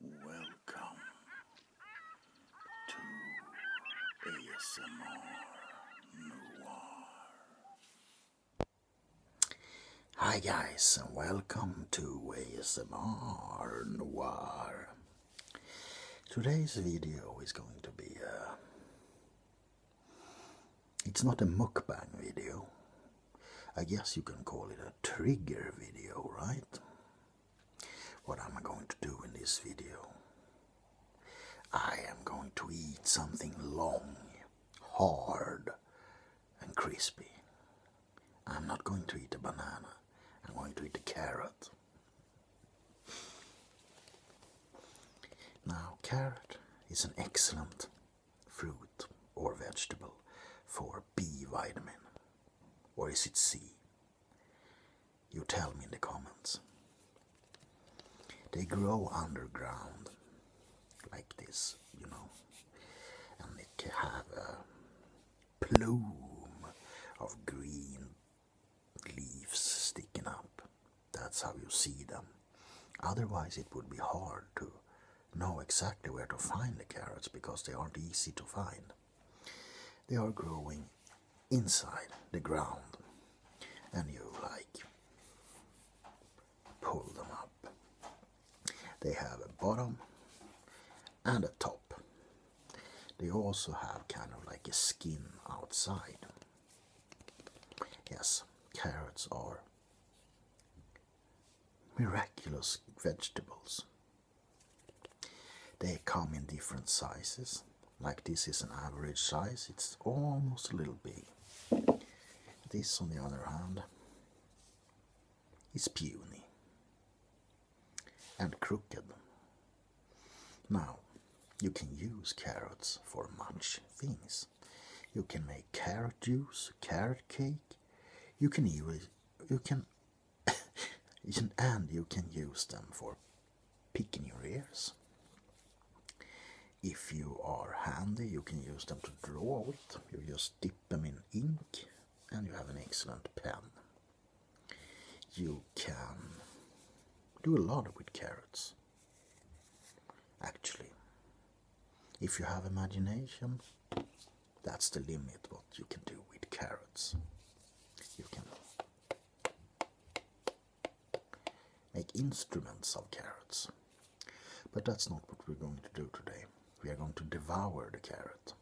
Welcome to ASMR Noir. Hi guys welcome to ASMR Noir. Today's video is going to be a... Uh, it's not a mukbang video, I guess you can call it a trigger video, right? What am I going to do in this video? I am going to eat something long, hard, and crispy. I'm not going to eat a banana. I'm going to eat a carrot. Now, carrot is an excellent fruit or vegetable for B vitamin. Or is it sea? You tell me in the comments. They grow underground like this, you know, and it have a plume of green leaves sticking up. That's how you see them. Otherwise, it would be hard to know exactly where to find the carrots because they aren't easy to find. They are growing inside the ground and you like pull them up. They have a bottom and a top. They also have kind of like a skin outside. Yes, carrots are miraculous vegetables. They come in different sizes. Like this is an average size, it's almost a little big. This, on the other hand, is puny and crooked. Now, you can use carrots for much things. You can make carrot juice, carrot cake, you can use you can and you can use them for picking your ears. If you are handy, you can use them to draw with. You just dip them in ink and you have an excellent pen. You can do a lot with carrots. Actually, if you have imagination, that's the limit what you can do with carrots. You can make instruments of carrots. But that's not what we're going to do today. We are going to devour the carrot.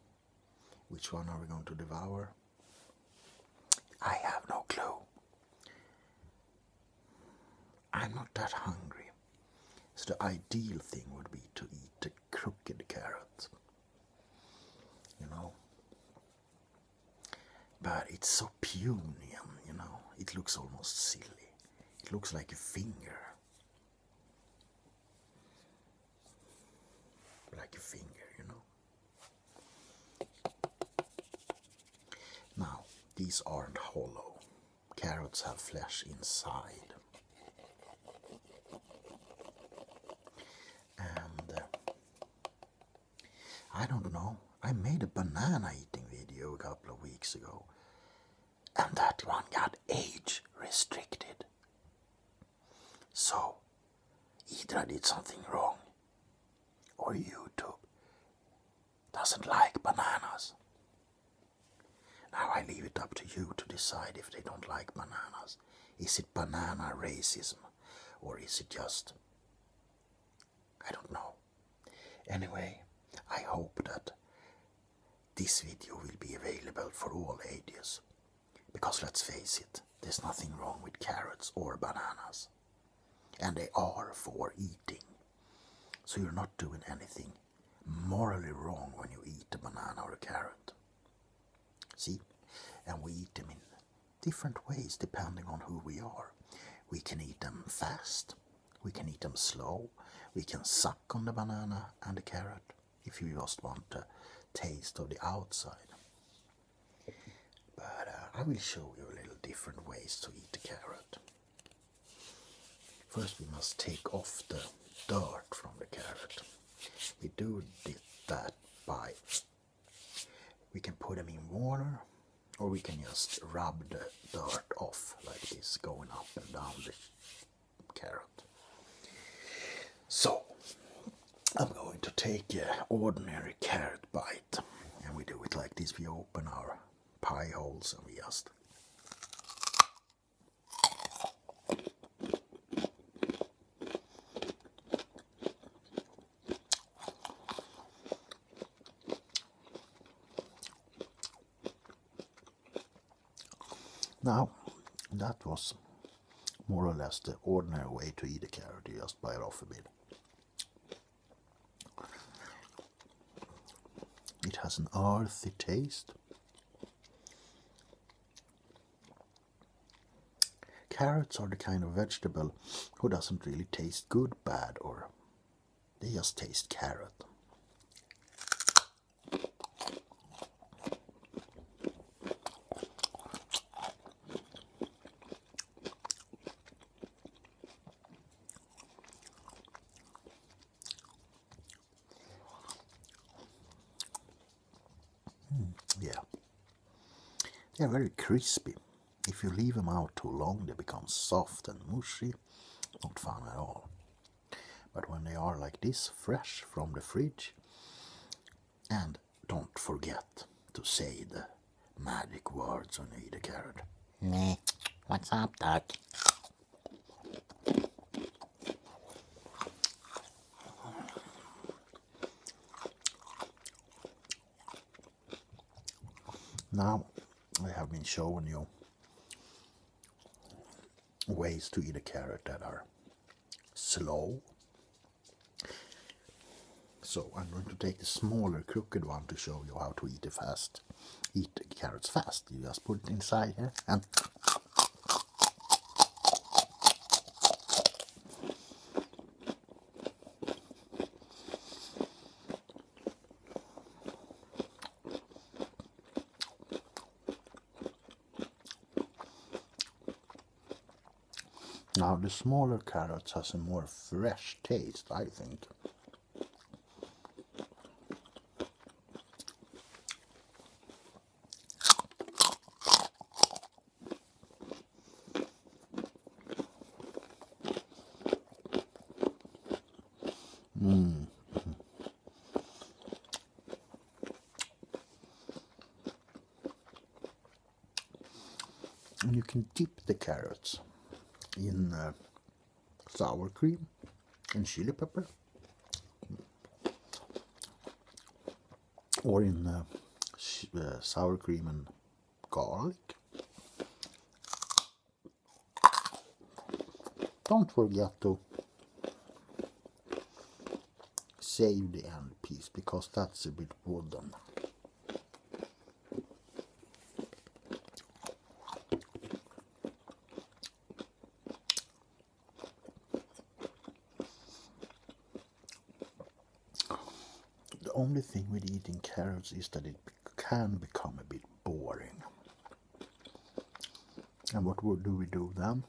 Which one are we going to devour? I have no clue. I'm not that hungry. So the ideal thing would be to eat a crooked carrot. You know? But it's so Punian, you know? It looks almost silly. It looks like a finger. Like a finger, you know? Now, these aren't hollow carrots have flesh inside. And uh, I don't know, I made a banana eating video a couple of weeks ago, and that one got age restricted. So, either I did something wrong, or YouTube doesn't like bananas. Now I leave it up to you to decide if they don't like bananas. Is it banana racism or is it just. I don't know. Anyway, I hope that this video will be available for all ages. Because let's face it, there's nothing wrong with carrots or bananas. And they are for eating. So you're not doing anything morally wrong when you eat a banana or a carrot. See? And we eat them in different ways depending on who we are. We can eat them fast, we can eat them slow, we can suck on the banana and the carrot if you just want a taste of the outside. But uh, I will show you a little different ways to eat the carrot. First, we must take off the dirt from the carrot. We do that by we can put them in water or we can just rub the dirt off like this going up and down the carrot. So I'm going to take an ordinary carrot bite and we do it like this. We open our pie holes just Now, that was more or less the ordinary way to eat a carrot, you just bite off a bit. It has an earthy taste. Carrots are the kind of vegetable who doesn't really taste good, bad, or they just taste carrot. Hmm, yeah. They're very crispy. If you leave them out too long, they become soft and mushy. Not fun at all. But when they are like this, fresh from the fridge, and don't forget to say the Magic words on Eat a Carrot. Nah, what's up, Doc? Now, I have been showing you ways to eat a carrot that are slow. So I'm going to take the smaller crooked one to show you how to eat it fast eat the carrots fast. You just put it inside here and Now the smaller carrots has a more fresh taste, I think. Mm. And you can dip the carrots in uh, sour cream and chili pepper or in uh, uh, sour cream and garlic don't forget to save the end piece because that's a bit wooden the only thing with eating carrots is that it can become a bit boring. And what do we do then?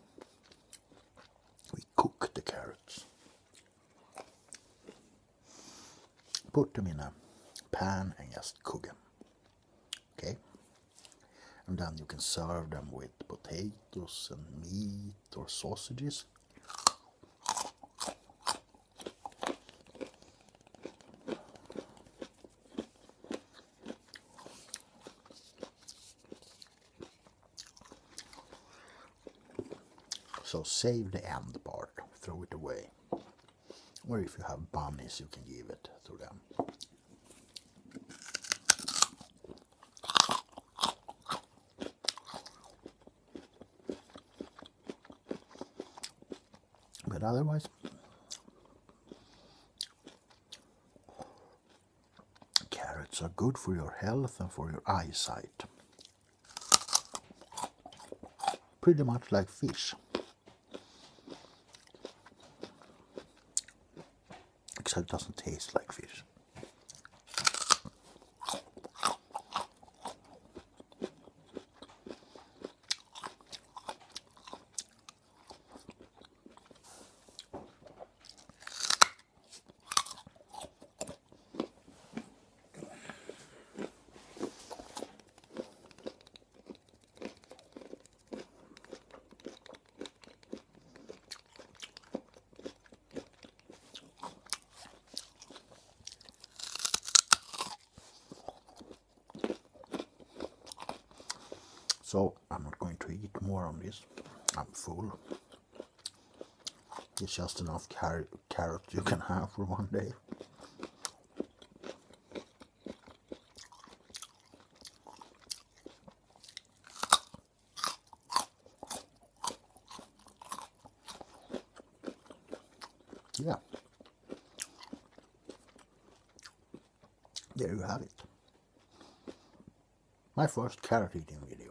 We cook the carrots. Put them in a pan and just cook them. Okay? And then you can serve them with potatoes and meat or sausages. So save the end part, throw it away. Or if you have bunnies, you can give it to them. But otherwise, carrots are good for your health and for your eyesight. Pretty much like fish. Except it doesn't taste like fish. So I'm not going to eat more on this. I'm full. It's just enough carrot, you can have for one day. Yeah. There you have it. My first carrot eating video.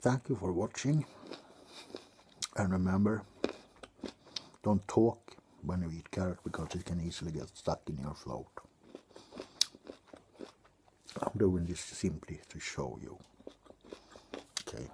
Thank you for watching and remember don't talk when you eat carrot because it can easily get stuck in your throat. I'm doing this simply to show you. Okay.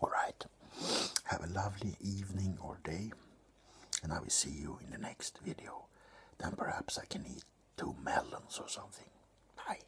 All right. Have a lovely evening or day and I will see you in the next video. Then perhaps I can eat two melons or something. Bye.